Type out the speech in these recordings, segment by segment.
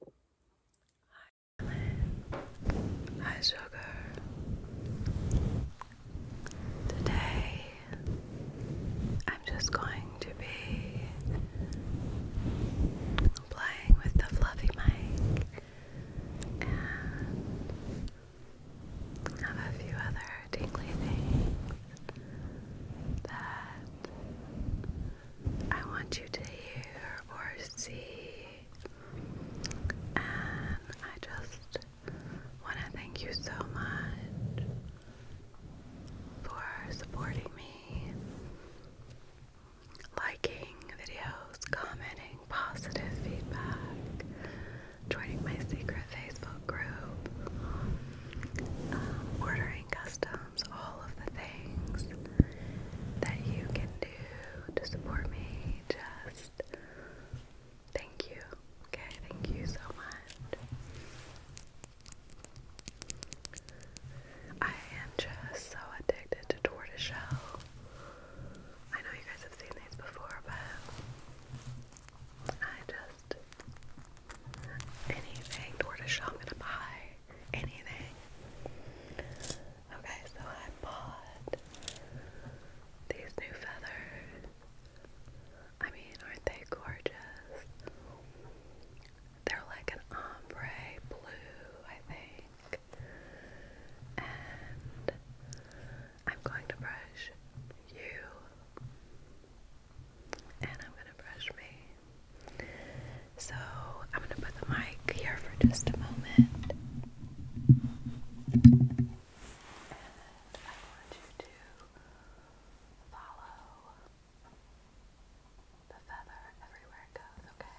Hi, Ellen. Hi, Sugar. Today, I'm just going to be playing with the fluffy mic and have a few other tingly things that I want you to hear or see. And I just want to thank you so much for supporting me, liking videos, commenting, positive feedback, joining my secret Facebook group, um, ordering customs, all of the things that you can do to support me. Just thank you. Okay, thank you so much. I am just so addicted to tortoiseshell. I know you guys have seen these before, but I just anything tortoiseshell I'm gonna buy anything. Okay, so I bought these new feathers. I mean, aren't they gorgeous? They're like an ombre blue, I think. And I'm going to brush you. And I'm going to brush me. So I'm going to put the mic here for just a moment. And I want you to follow the feather everywhere it goes, okay?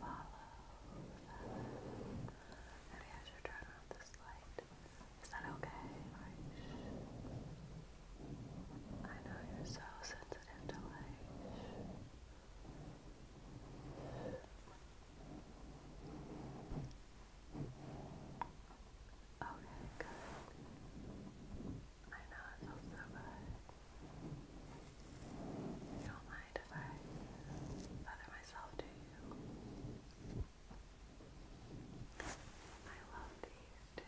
Follow the feather. Maybe I should turn off this light. Is that okay? I know you're so sensitive to light. Okay, good. I know it feels so good. You don't mind if I feather myself, do you? I love these too.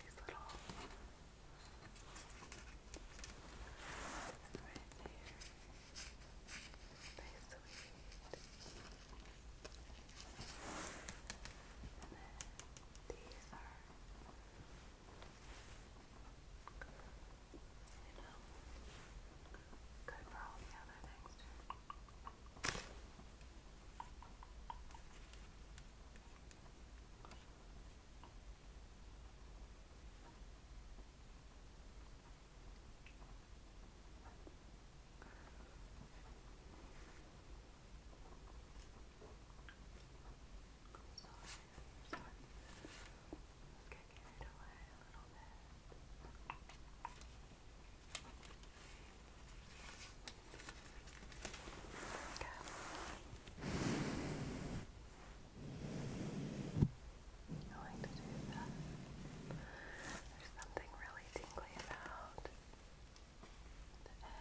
These little right there. They sweet. And then these are you good for all the other things too. Let's get carried away a little bit. Okay. I like to do that. There's something really tingly about the edge.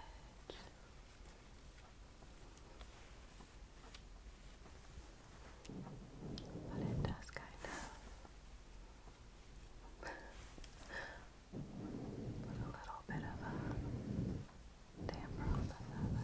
But it does kind of Put a little bit of a damper on the feather.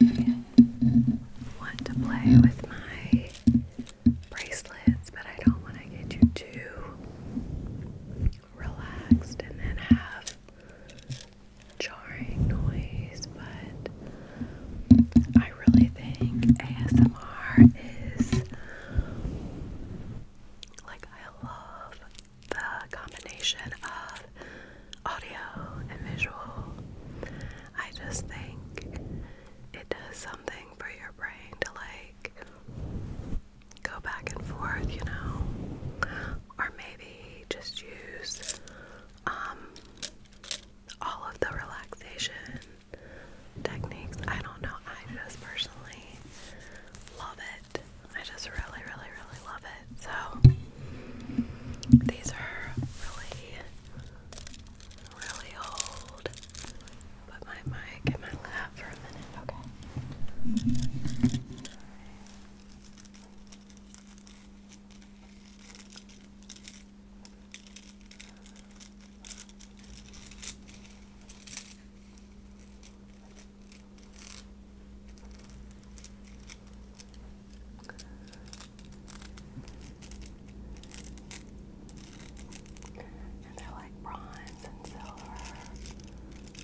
I want to play with my bracelets, but I don't want to get you too relaxed and then have jarring noise, but I really think ASMR is like I love the combination of audio and visual. I just think it does something for your brain to like go back and forth, you know, or maybe just use um, all of the relaxation techniques. I don't know. I just personally love it. I just really, really, really love it. So these are really, really old. Put my mic in my lap for a minute, okay? And they're like bronze and silver this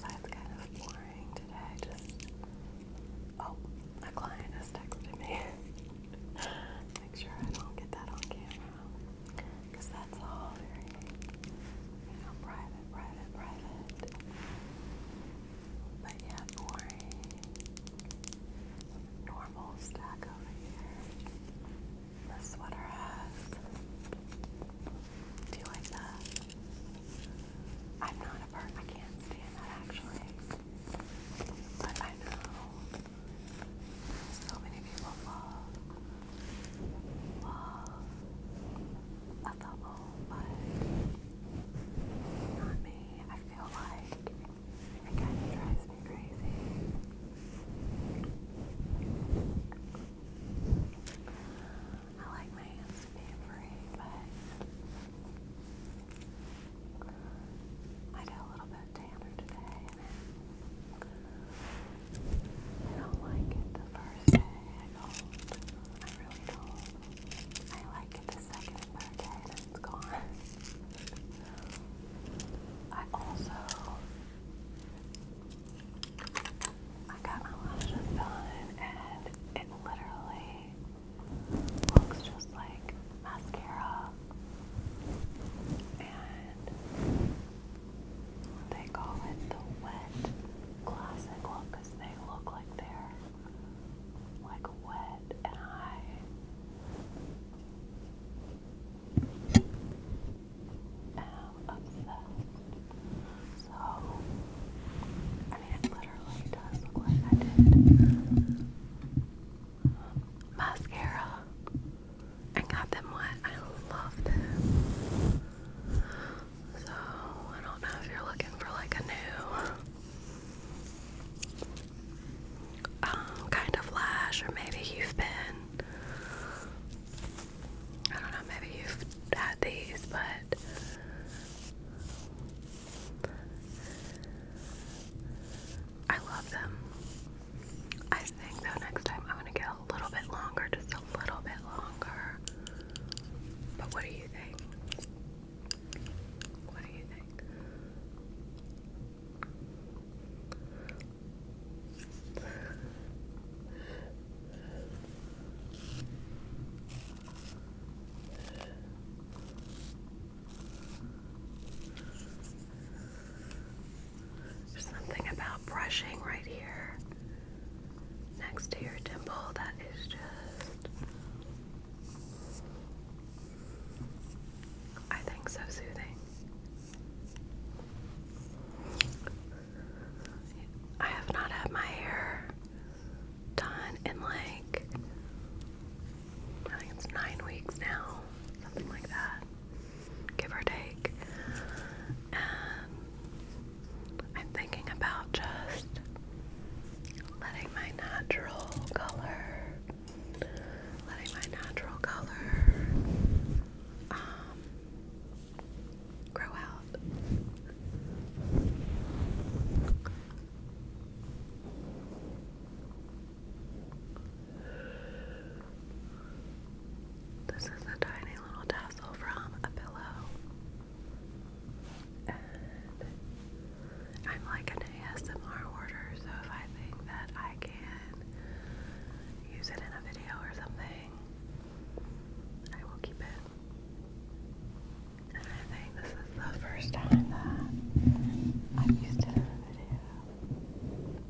side's kind of boring today. Just oh, my client has texted me. Make sure I don't get that on camera because that's all very, you know, private, private, private. But yeah, boring. Normal stack over here. The sweater has. Do you like that? I'm not a bird. I can't stand that actually. But I know so many people love love a level, but not me. I feel like it kind of drives me crazy. I like my hands to be free, but I got a little bit tanner today, I don't like it the first day I gold. I really don't. I like it the second and third day and it's gone. I also I got my lashes done and it literally looks just like mascara and they call it the wet classic look because they look like they're like wet and I am obsessed. So I mean it literally does look like mascara. I got them wet. I love them. So I don't know if you're looking for like a new um, kind of lash, or maybe you've been. I don't know, maybe you've had these, but I love them. I think though next time I'm gonna get a little bit longer, just a little bit longer. But what do you think? What do you think? There's something about brushing right here next to your dimple that is just. I think so soothing. I have not had my hair done in like I think it's nine weeks now, something like that give or take. And I'm thinking about just letting my natural color, letting my natural color um, grow out. This is a tiny little tassel from a pillow. And I'm like an ASMR order, so if I think that I can use it in a video or something, I will keep it. And I think this is the first time that I've used it a video.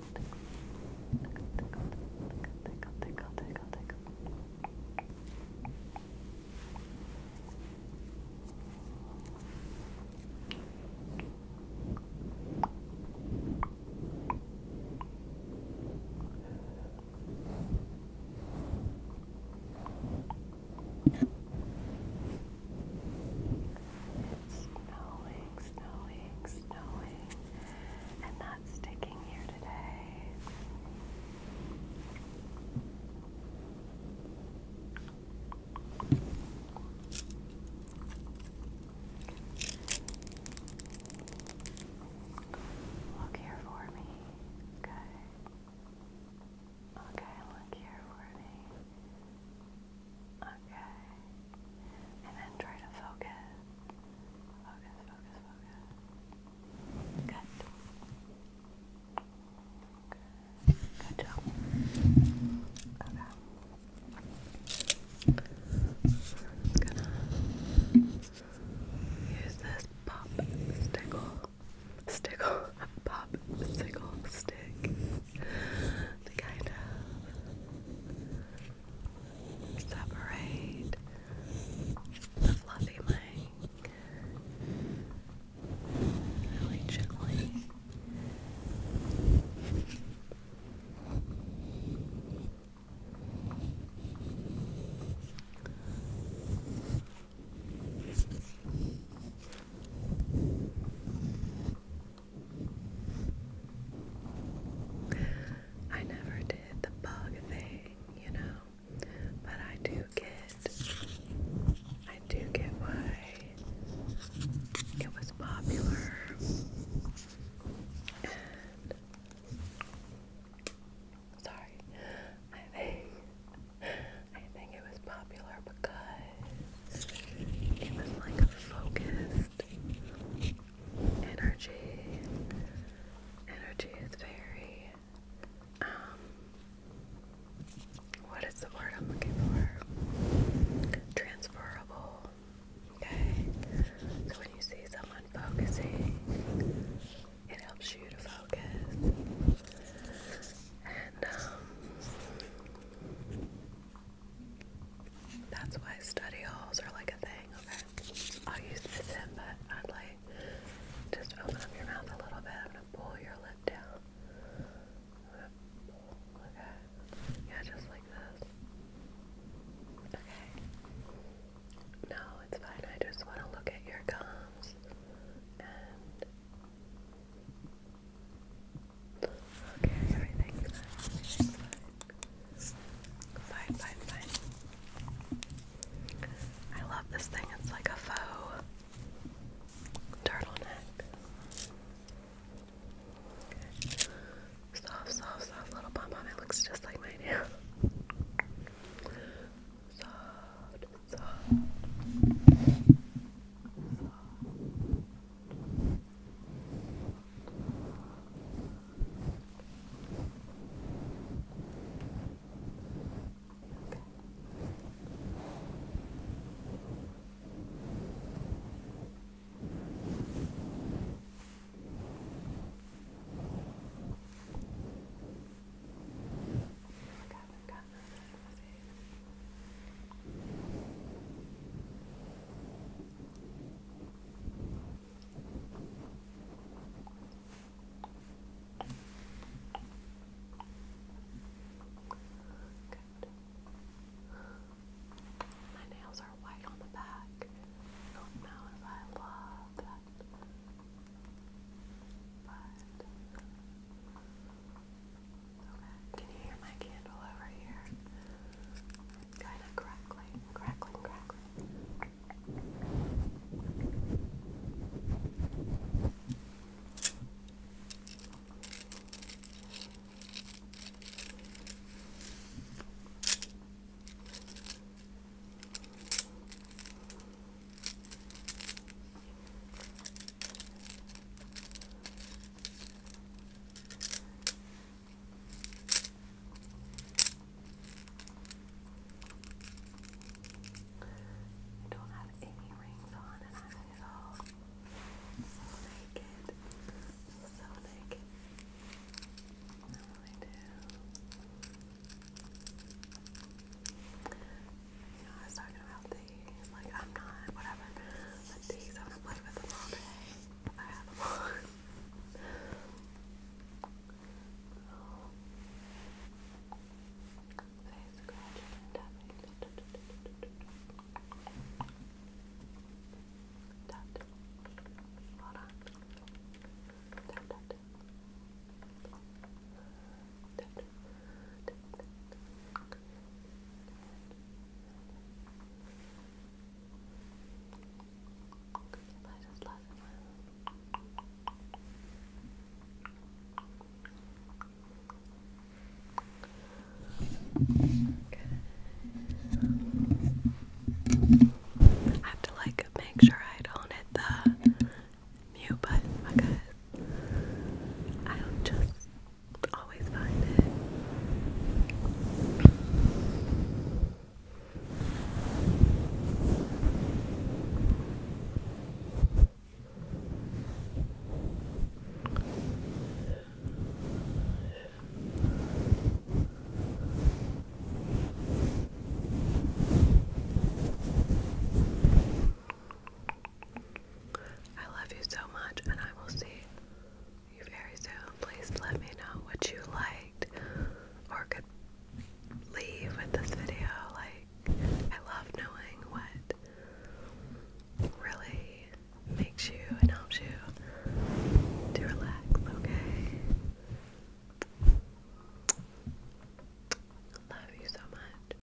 tickle, tickle, snowing, snowing, snowing and not sticking here today. Look here for me. Good. Okay, look here for me. Okay. And then try to focus. Focus, focus, focus. Good. Good, Good job. Okay. use this pop stickle, stickle, pop stickle stick to kind of separate the fluffy leg really gently. I never did the bug thing, you know, but I do get, I do get why it was popular, sorry, I think, I think it was popular because it was like focused energy. Energy is very um, what is the word I'm looking for? Transferable. Okay. So when you see someone focusing, it helps you to focus. And um, that's why study halls are like a thing, okay? I'll use this in, but I'd like just open up your mouth a little bit. I'm gonna pull your lip down. Pull, okay. Yeah, just like this. Okay. No, it's fine. I just want to look at your gums and Okay, I love this thing. It's like a faux turtleneck. Soft, soft, soft little pom pom. It looks just like my nail. Soft, soft. Soft, Okay, we've got this. Let's see. Good. My nails are white on the back. not know if I love that. But can you hear my candle over here? kind of crackling, crackling, crackling. I don't have any rings on and I so naked. So naked. I You was talking about these. Like, I'm not, whatever. these, I'm gonna play with them all day. I have them on. Oh. scratching and tapping. Hold on. I just love it I have to like make sure I don't hit the mute button because i just always find it. I love you so much, and I will see you very soon. Please let me know what you liked or could leave with this video. Like, I love knowing what really makes you and helps you to relax, okay? Love you so much.